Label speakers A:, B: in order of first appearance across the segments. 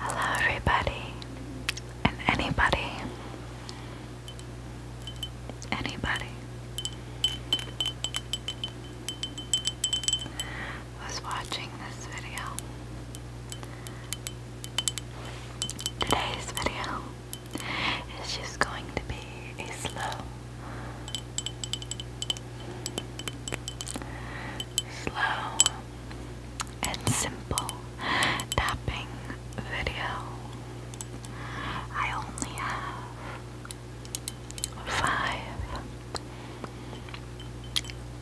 A: Hello, everybody, and anybody, anybody who's watching this video. Today's video is just going to be a slow. Slow and simple tapping video. I only have five,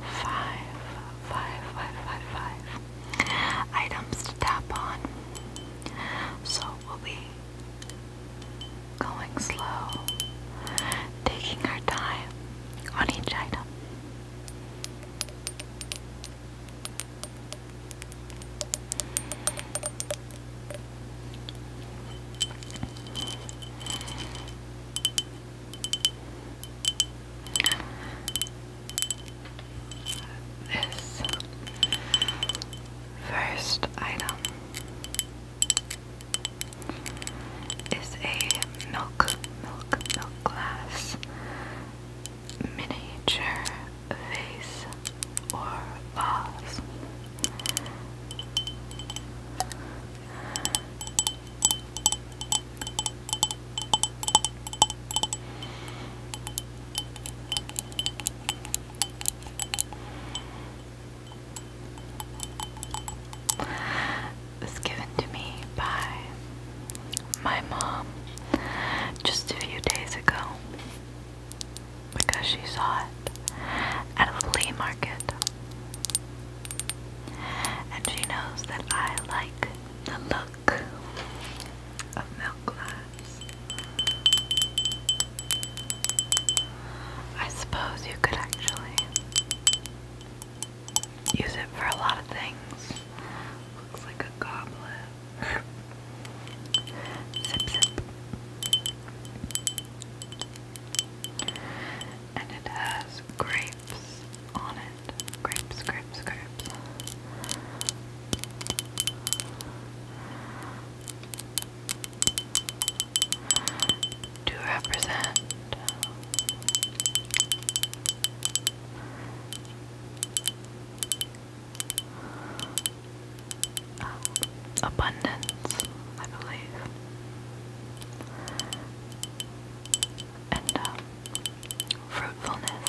A: five, five items to tap on. So we'll be going slow, taking our time, on each item. This first item is a milk, milk, milk glass miniature vase or vase was given to me by my mom just a few days ago because she saw it at a flea market. And she knows that I like the look of milk glass. I suppose you could actually use it for a lot of things. Looks like a goblet. zip, zip. And it has grapes on it. Grapes, grapes, grapes to represent um, abundance, I believe, and um, fruitfulness.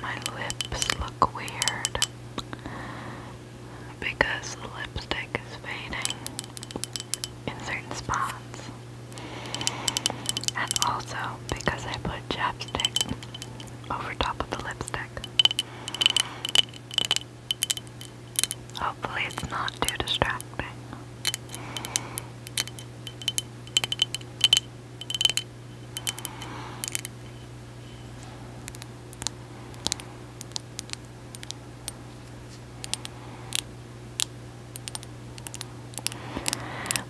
A: My lips look weird because the lipstick is fading in certain spots, and also because I put chapstick over top of the lipstick. Hopefully, it's not too distracting.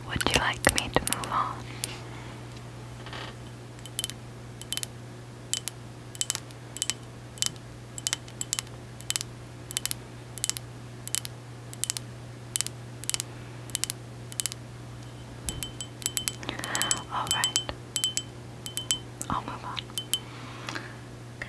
A: Would you like me to move on? Alright. I'll move on. Okay.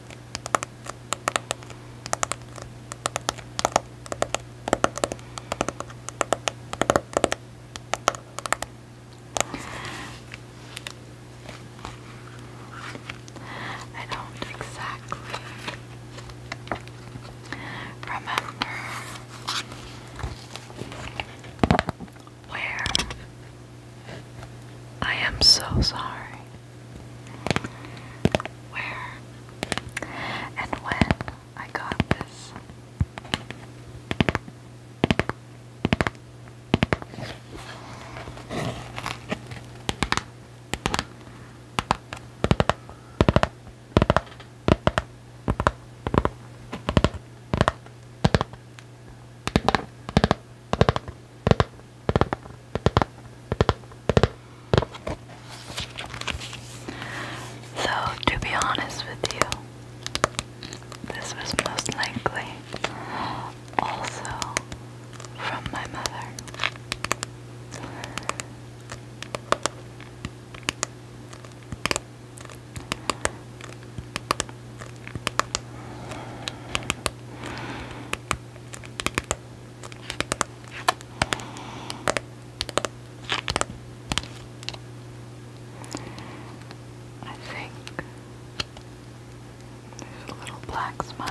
A: I don't exactly remember where I am so sorry. Where and when I got this. So, to be honest with you, this was most likely also from my mother. I think a little black smudge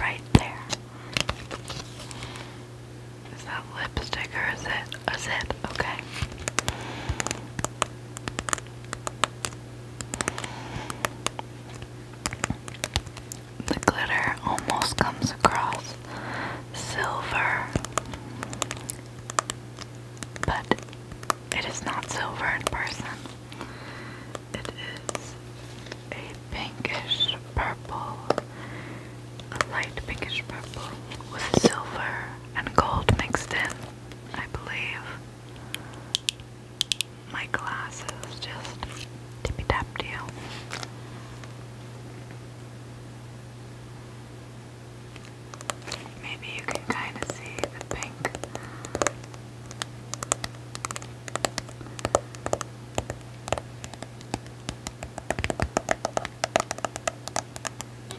A: right there. Is that lipstick or is it? Is it? Okay. The glitter almost comes across silver, but it is not silver in person. It is a pinkish purple, a light pinkish purple with silver and gold mixed in, I believe. My glasses just tippy tap Maybe you can kind of see the pink.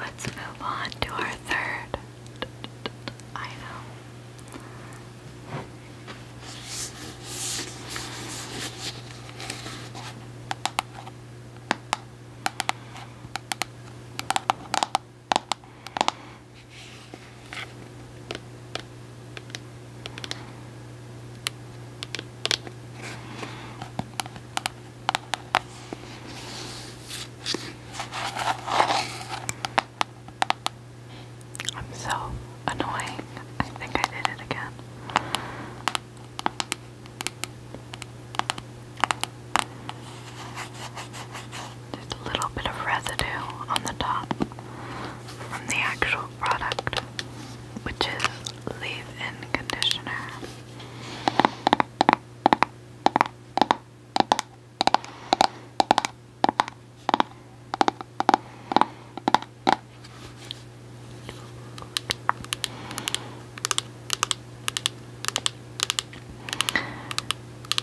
A: Let's move on to our third item. I'm so annoying. I think I did it again. There's a little bit of residue on the top from the actual product, which is leave in conditioner.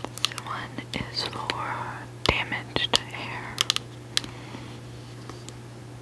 A: This one is for damaged hair.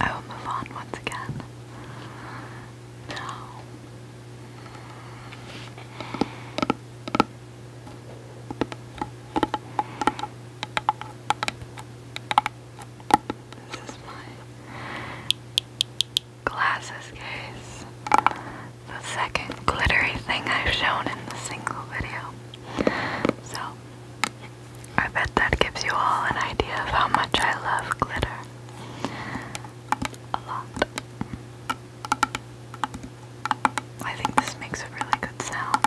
A: I will move on once again. Now. This is my glasses case. The second glittery thing I've shown in the single video. So, I bet that gives you all an idea of how much I love glitter. A lot. I think this makes a really good sound.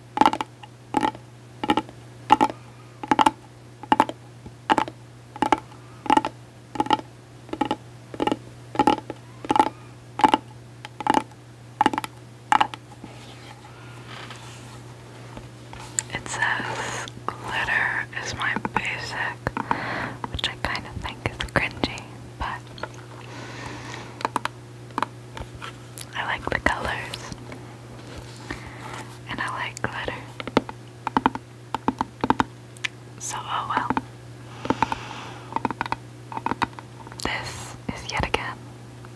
A: It says glitter is my basic, which I kind of think is cringy, but I like the colors. And I like glitter. So, oh well. This is yet again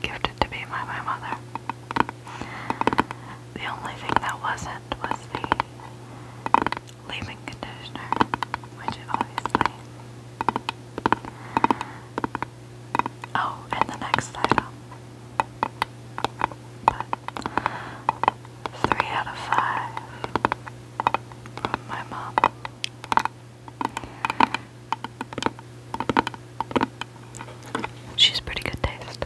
A: gifted to me by my mother. The only thing that wasn't was the leave-in conditioner, which it obviously Oh, and the next item. three out of five from my mom. She's pretty good taste.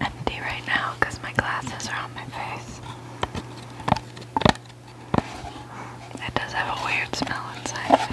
A: Empty right now because my glasses are on my face. It does have a weird smell inside of it.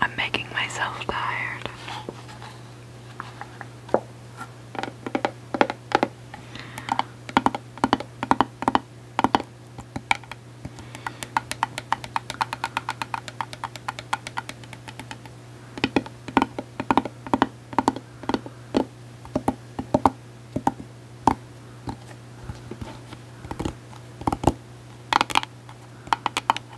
A: I'm making myself tired.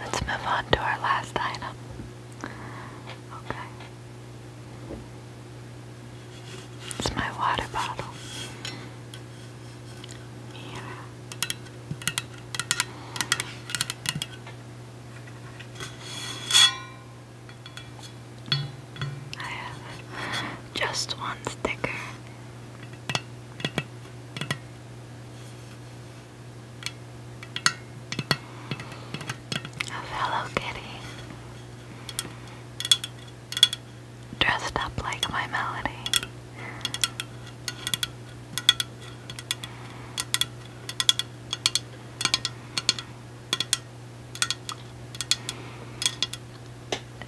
A: Let's move on to our last item. Okay. It's my water bottle. Yeah. I have just one sticker. Of Hello Kitty dressed up like my melody.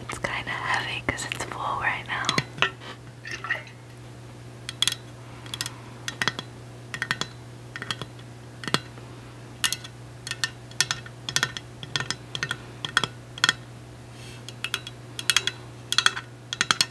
A: It's kind of heavy because it's full right now.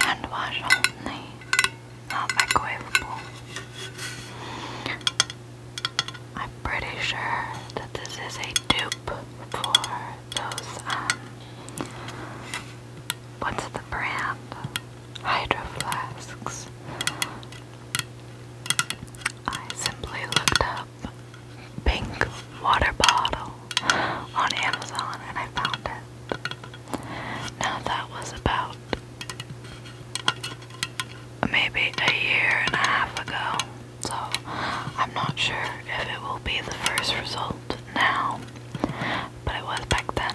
A: Hand wash only, not microwavable. I'm pretty sure that this is a dupe for those, um, what's the brand? Hydro Flasks. I simply looked up pink water bottle on Amazon and I found it. Now that was about maybe a year and a half ago, so I'm not sure if it will be the first result now, but it was back then.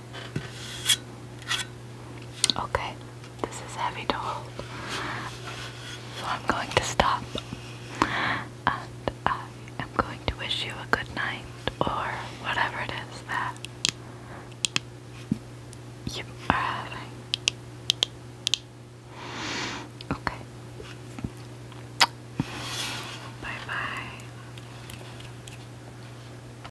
A: Okay, this is heavy to hold, so I'm going to stop. And I am going to wish you a good night, or whatever it is that you are having. Okay. Bye bye.